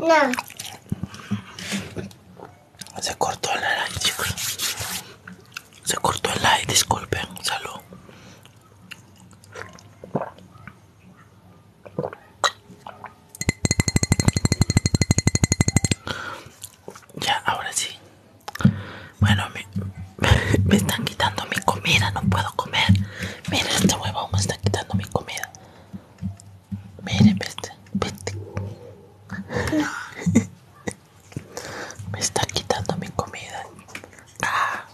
No. Se cortó el like, chicos. Se cortó el like, disculpen. Salud. Ya, ahora sí. Bueno, mi, me están quitando mi comida, no puedo comer. miren esta hueva, me está quitando mi comida. Miren vete, vete. Me está quitando mi comida. Ah.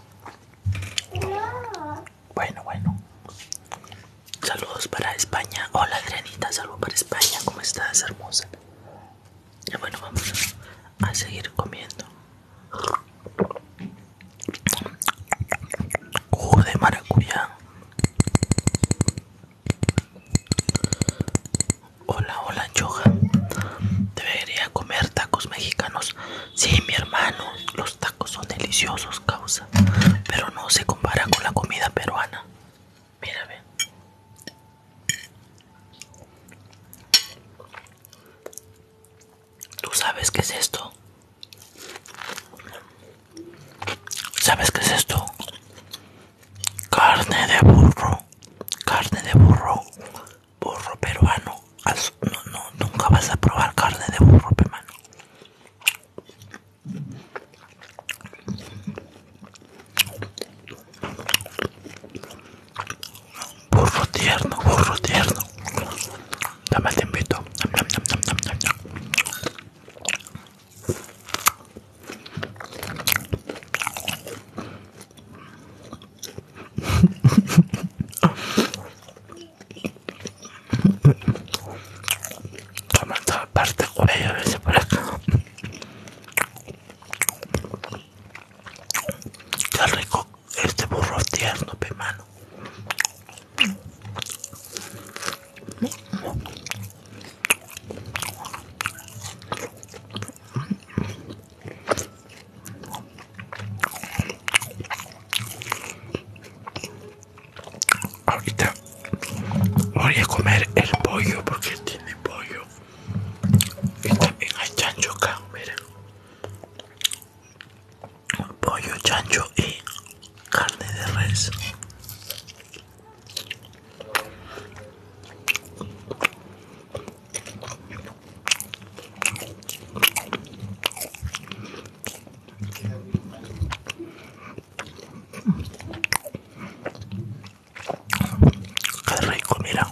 Bueno, bueno. Saludos para España. Hola, Adrianita. Saludos para España. ¿Cómo estás, hermosa? Y bueno, vamos a seguir comiendo. Jugo de maracuyá. Hola, hola, anchoja Debería comer tacos mexicanos. Sí, mi hermano, los tacos son deliciosos, causa. Pero no se compara con la comida peruana. Mírame. ¿Tú sabes qué es esto? ¿Sabes qué es esto? Carne de burro, carne de burro, burro peruano. No, no, nunca vas a probar carne de burro, peruano. Burro tierno, burro tierno. Dame te invito. Toma toda parte cuello a acá. rico este burro tierno, mi mano. Ahorita voy a comer el pollo porque tiene pollo. Y también hay chancho acá, miren pollo chancho y carne de res Qué rico, mira.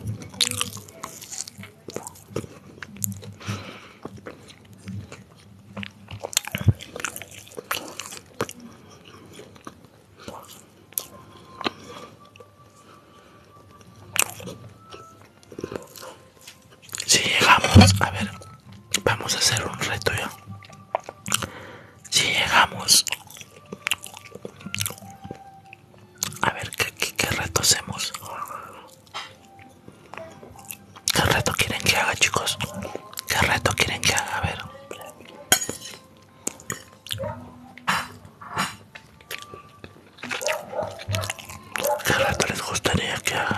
Si llegamos, a ver, vamos a hacer un reto ya. Si llegamos a ver, ¿qué, qué, reto hacemos? ¿Qué reto quieren que haga, chicos? ¿Qué reto quieren que haga? A ver. ¿Qué reto les gustaría que haga?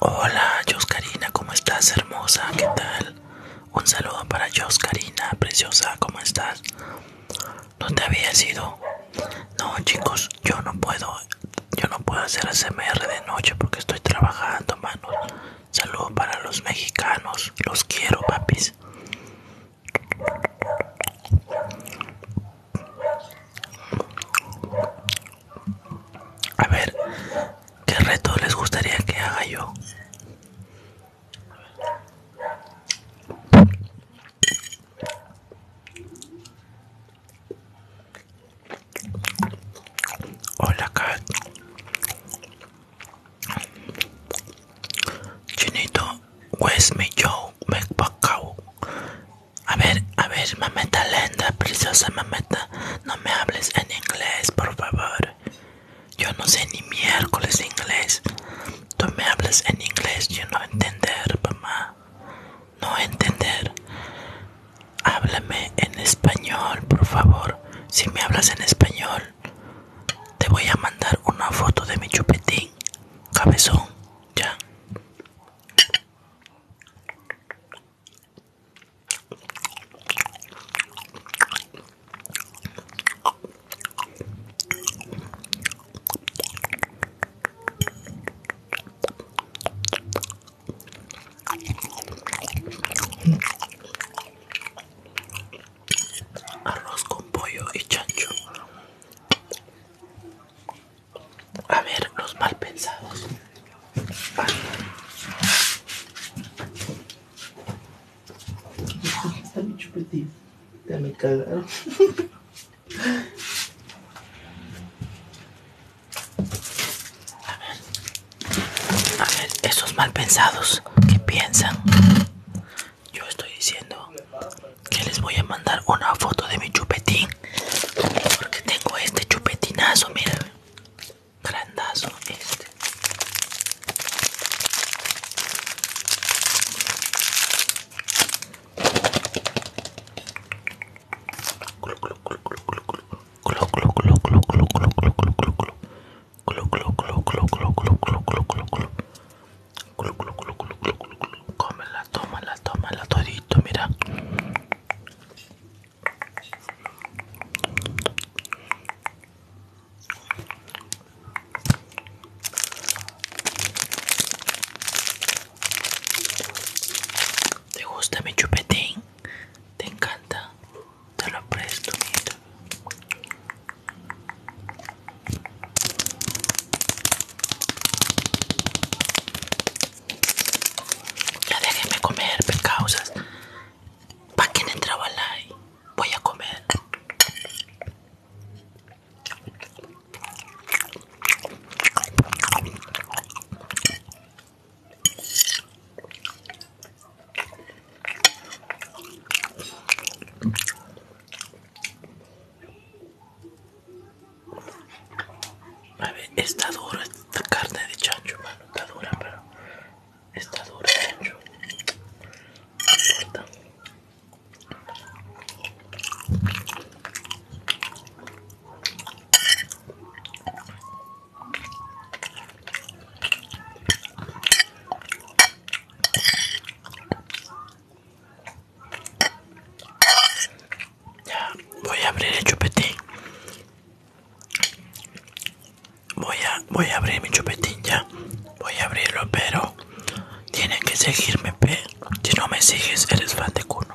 Hola, Joscarina, ¿cómo estás, hermosa? ¿Qué tal? Un saludo para Joscarina, Karina, preciosa, ¿cómo estás? ¿No te había ido? No, chicos, yo no puedo. Yo no puedo hacer ASMR de noche porque estoy trabajando, manos. Saludo para los mexicanos. Los quiero, papis. A ver, ¿qué reto les gustaría que haga yo? Hola Kat Chinito West me yo me A ver, a ver, mameta linda, preciosa mameta No me hables en inglés, por favor yo no sé ni miércoles inglés. Tú me hablas en inglés, yo no entender, mamá. No entender. Háblame en español, por favor. Si me hablas en español, te voy a mandar una foto de mi chupetín. Cabezón, ya. Arroz con pollo y chancho. A ver, los mal pensados. Está chupetín. Ya me A ver. A ver, esos mal pensados que piensan. Yo estoy diciendo que les voy a mandar una foto de mi chupetín. Porque tengo este chupetinazo, mira grandazo este Cómela, tómala, tómala todito, mira. ¿Te gusta mi chupetín? ¿Te encanta? Te lo presto, mira. Ya déjenme comer, pecausas. ¿Para quien entraba live? Voy a comer. A está dura esta carne de chancho, mano, está dura, pero Está duro, ya voy a abrir el chupetín voy a voy a abrir mi chupetín ya voy a abrirlo pero tienes que seguirme pe si no me sigues eres fan de cuno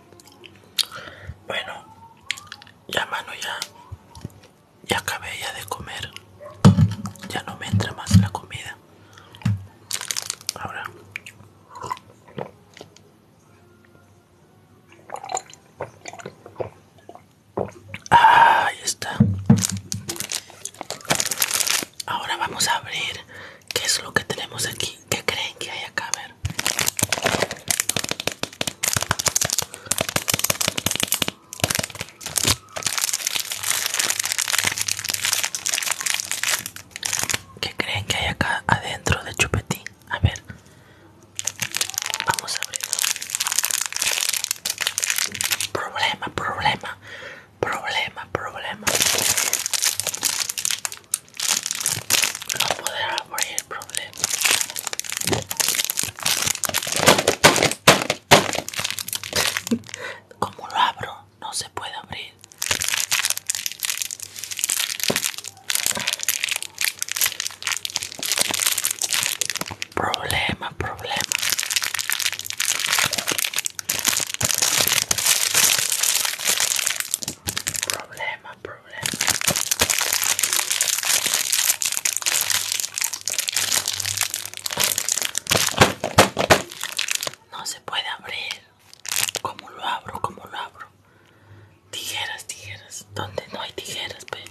Bueno, ya mano, ya, ya acabé ya de comer. Ya no me entra más la comida. Ahora. Ah, ahí está. Ahora vamos a abrir qué es lo que tenemos aquí. ¿Qué creen que hay acá? ver. ¿Qué creen que hay acá adentro de chupetín? A ver. Vamos a abrirlo. Problema, problema. Problema, problema no poder abrir el problema Como lo abro, no se puede abrir. Problema, problema. Problema, problema. No se puede abrir. ¿Cómo lo abro? ¿Cómo lo abro? Tijeras, tijeras. Donde no hay tijeras, pues.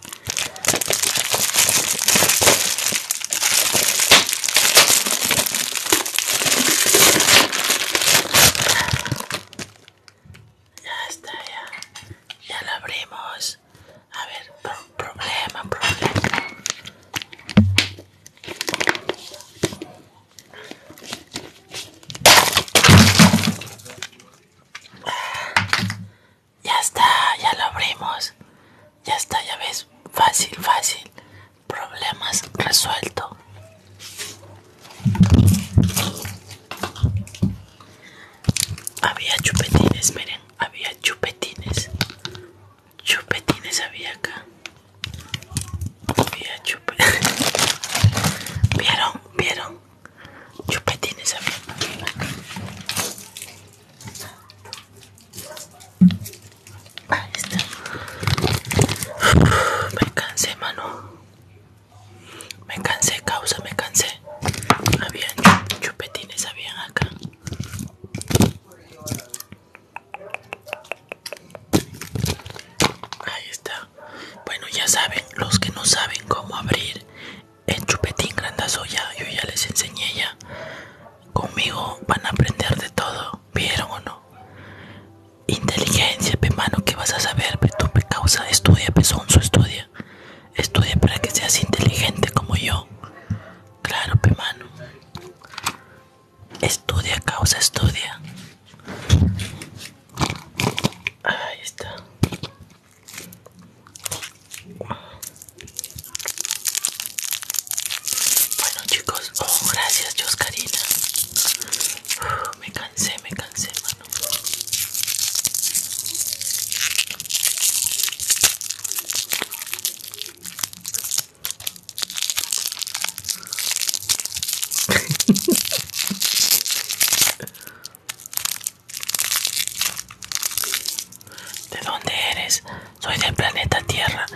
Ya está, ya. Ya lo abrimos. A ver, problema, problema. Ya está, ya lo abrimos. Ya está, ya ves. Fácil, fácil problemas resuelto. Había chupetines, miren, había chupetines. Chupetines había acá. Había chupetines. ¿Vieron? ¿Vieron? Chupetines había acá. Ahí está. Me cansé, mano. Me cansé, causa, me cansé. Habían chupetines, habían acá. Ahí está. Bueno, ya saben, los que no saben cómo abrir el chupetín grandazo, ya, yo ya les enseñé ya. Conmigo van a aprender de todo, ¿vieron o no? Inteligencia, pe mano, que vas a saber? Pe tu causa, estudia, pe su estudia. Estudia para que seas inteligente como yo. Claro, pe mano. Estudia, causa, estudia. Ahí está. Bueno chicos, Oh, gracias, Joscarina. me cansé, me cansé, mano. ¿De dónde eres? Soy del planeta Tierra.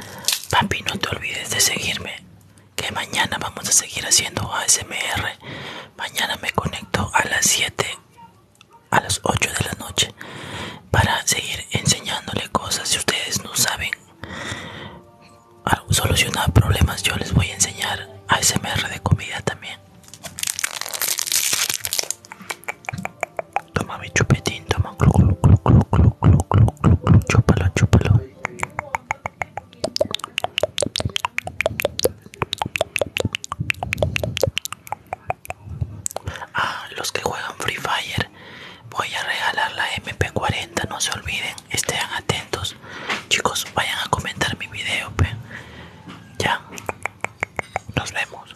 Papi, no te olvides de seguirme que mañana vamos a seguir haciendo ASMR. Mañana me conecto a las 7 a las 8 de la noche para seguir enseñándole cosas. Si ustedes no saben solucionar problemas, yo les voy a enseñar ASMR de comida también. Toma mi chupetín, toma, clu, clu, clu, clu, clu, clu, clu, clu, a ah, los que juegan Free Fire, voy a regalar la MP40, no se olviden, estén atentos. Chicos, vayan a comentar mi video, Ya. Nos vemos.